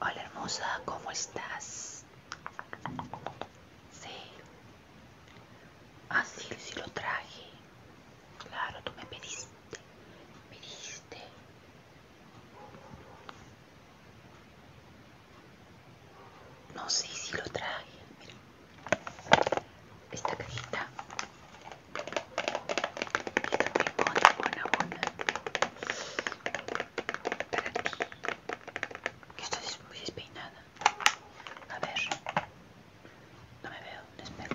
Hola hermosa, ¿cómo estás? Sí. Así ah, sí lo traje. Claro, tú me pediste me no sé si lo traje esta cajita está muy buena buena buena para ti que estás muy despeinada a ver no me veo, no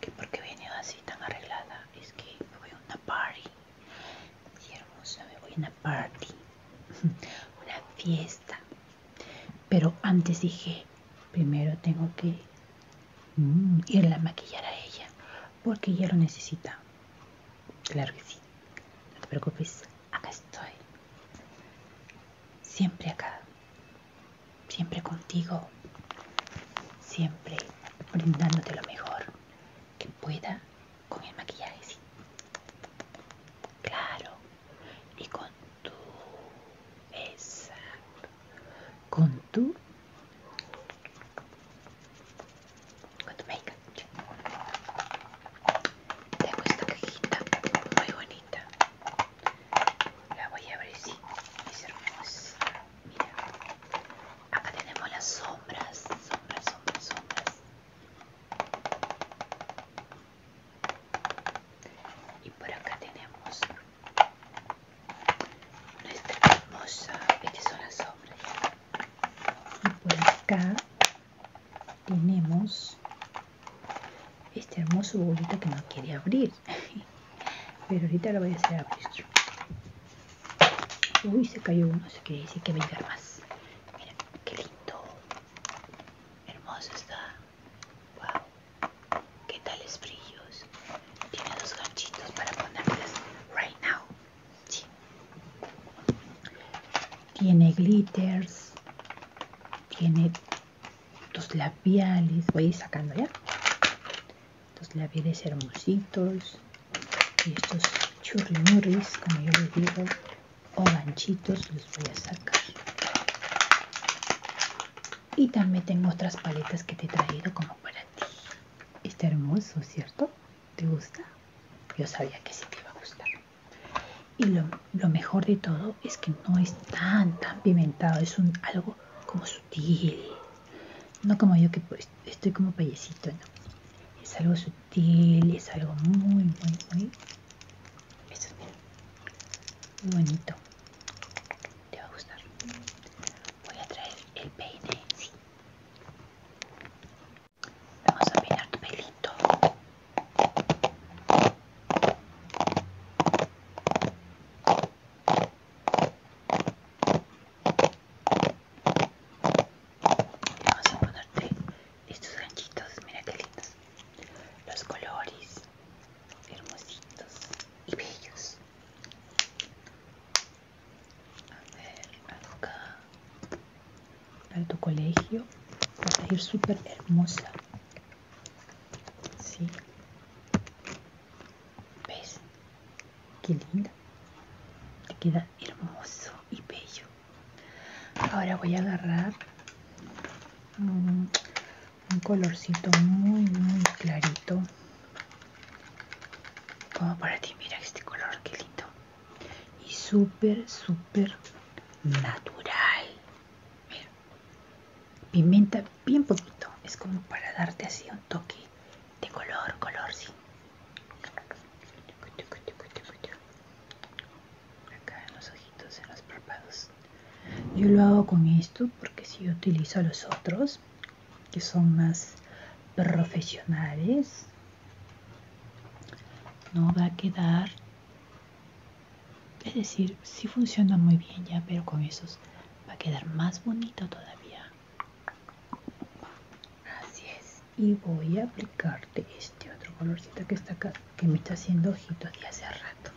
que porque viene así tan arreglada es que me voy a una party hermosa me voy a una party una fiesta pero antes dije primero tengo que mm, irla a maquillar a ella porque ella lo necesita claro que sí no te preocupes acá estoy siempre acá siempre contigo, siempre brindándote lo mejor que pueda con el maquillaje, sí. Claro, y con tu, exacto, con tu, con tu make up. Tengo esta cajita muy bonita. La voy a abrir, sí, es hermosa mira acá tenemos las sombras sombras sombras sombras y por acá tenemos nuestra hermosa estas son las sombras y por acá tenemos este hermoso bolito que no quiere abrir pero ahorita lo voy a hacer a vuestro Uy, se cayó uno, se quiere decir que venga más. Mira, qué lindo. Hermoso está. Wow. ¿Qué tales brillos? Tiene dos ganchitos para ponerles right now. Tiene glitters. Tiene Dos labiales. Voy a ir sacando ya los labiales hermositos y estos churrimurris como yo les digo o ganchitos los voy a sacar y también tengo otras paletas que te he traído como para ti está hermoso cierto te gusta yo sabía que sí te iba a gustar y lo, lo mejor de todo es que no es tan tan pimentado es un algo como sutil. No como yo que pues, estoy como payecito, no. Es algo sutil, es algo muy, muy, muy... Eso, muy bonito. Te va a gustar. Voy a traer el peine, sí. Vamos a peinar tu pelito. Vamos a ponerte estos ganchitos, mira qué lindos. Los colores hermositos y bellos. A ver, acá. Para tu colegio va a salir súper hermosa. Sí. ¿Ves? Qué lindo Te queda hermoso y bello. Ahora voy a agarrar un, colorcito muy, muy clarito. Como para ti, mira este color, qué lindo. Y súper, súper natural. Mira. Pimenta, bien poquito, es como para darte así un toque de color, color, sí. Acá en los ojitos, en los párpados. Yo lo hago con esto porque si utilizo los otros, que son más profesionales, no va a quedar es decir, si sí funciona muy bien ya, pero con esos va a quedar más bonito todavía. Así es. Y voy a aplicarte este otro colorcito que está acá, que me está haciendo ojitos de hace rato.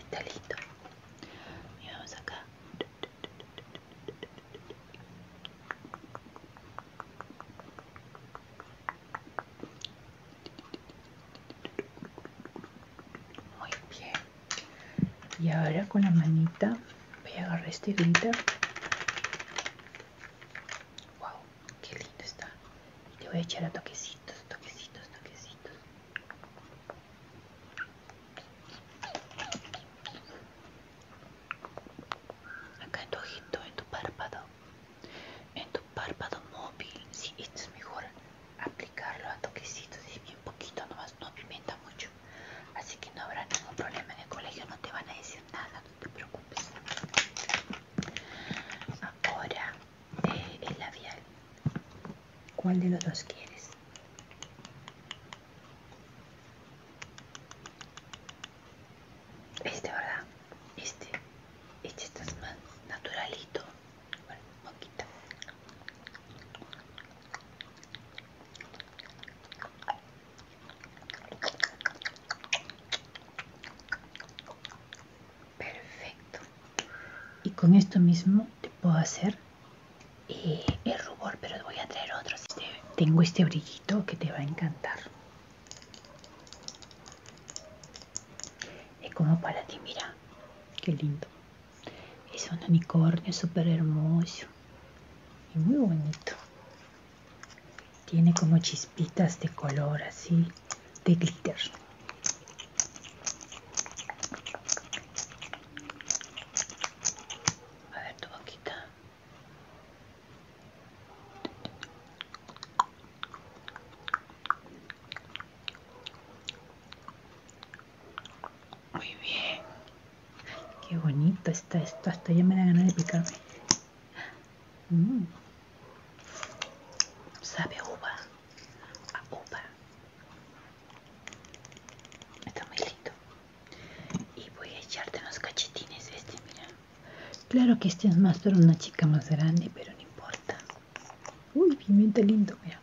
Está listo. Y vamos acá. Muy bien. Y ahora con la manita voy a agarrar este glitter. Wow, qué lindo está. Y te voy a echar a toquecitos, toquecitos, toquecitos. Acá en tu ojito, en tu párpado, en tu párpado móvil, si sí, esto es mejor aplicarlo a toquecitos y bien poquito nomás, no pimienta mucho. Así que no habrá ningún problema en el colegio, no te van a decir nada, no te preocupes. Ahora, eh, el labial. ¿Cuál de los dos quieres? Este, ¿verdad? Este. Este está más naturalito. Bueno, un poquito. Perfecto. Y con esto mismo te puedo hacer eh, el rubor, pero voy a traer otro. tengo este brillito que te va a encantar es como para ti, mira, qué lindo. Es un unicornio súper hermoso y muy bonito. Tiene como chispitas de color así, de glitter. A ver tu boquita. Muy bien. Qué bonito está esto. Hasta ya me da ganas de picarme. Mm. Sabe a uva. A uva. Está muy lindo. Y voy a echarte unos cachetines este, mira. Claro que este es más para una chica más grande, pero no importa. Uy, pimienta lindo, mira.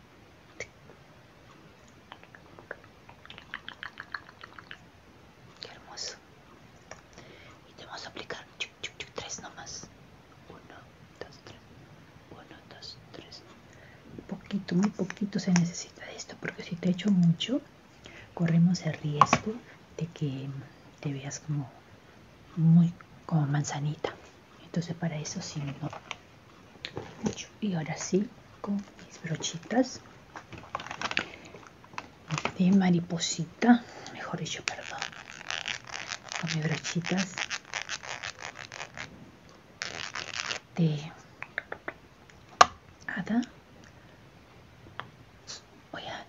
Qué hermoso. Y te vamos a aplicar tres nomás. Uno, dos, tres. Uno, dos, tres. Poquito, muy poquito se necesita de esto, porque si te echo mucho, corremos el riesgo de que te veas como muy como manzanita entonces para eso sí no y ahora sí con mis brochitas de mariposita mejor dicho perdón con mis brochitas de hada voy a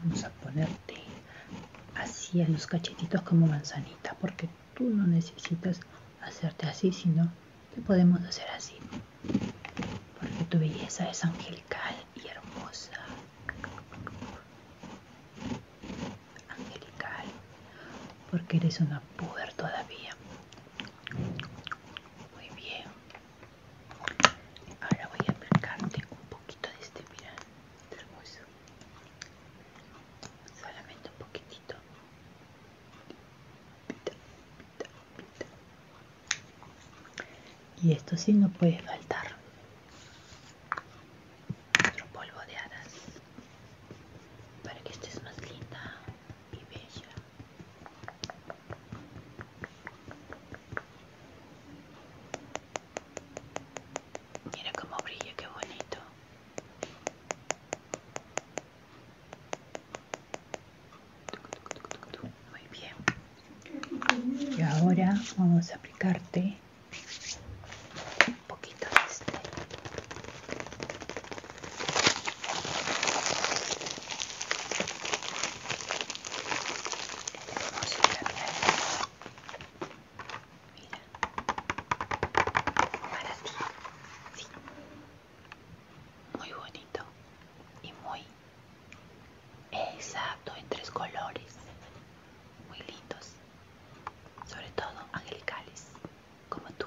Vamos a ponerte así en los cachetitos como manzanita, porque tú no necesitas hacerte así, sino que podemos hacer así, porque tu belleza es angelical y hermosa. Angelical, porque eres una puber todavía. Muy bien, Ahora voy a aplicarte un poquito de este, mira, este hermoso. Solamente un poquitito. Y esto sí no puede faltar. Otro polvo de hadas. Para que estés más linda y bella. Mira cómo brilla, qué bonito. Muy bien. Y ahora vamos a aplicarte un poquito de este. Mira. Muy bonito. Y muy exacto en tres colores. Muy lindos. Sobre todo angelicales. Como tú.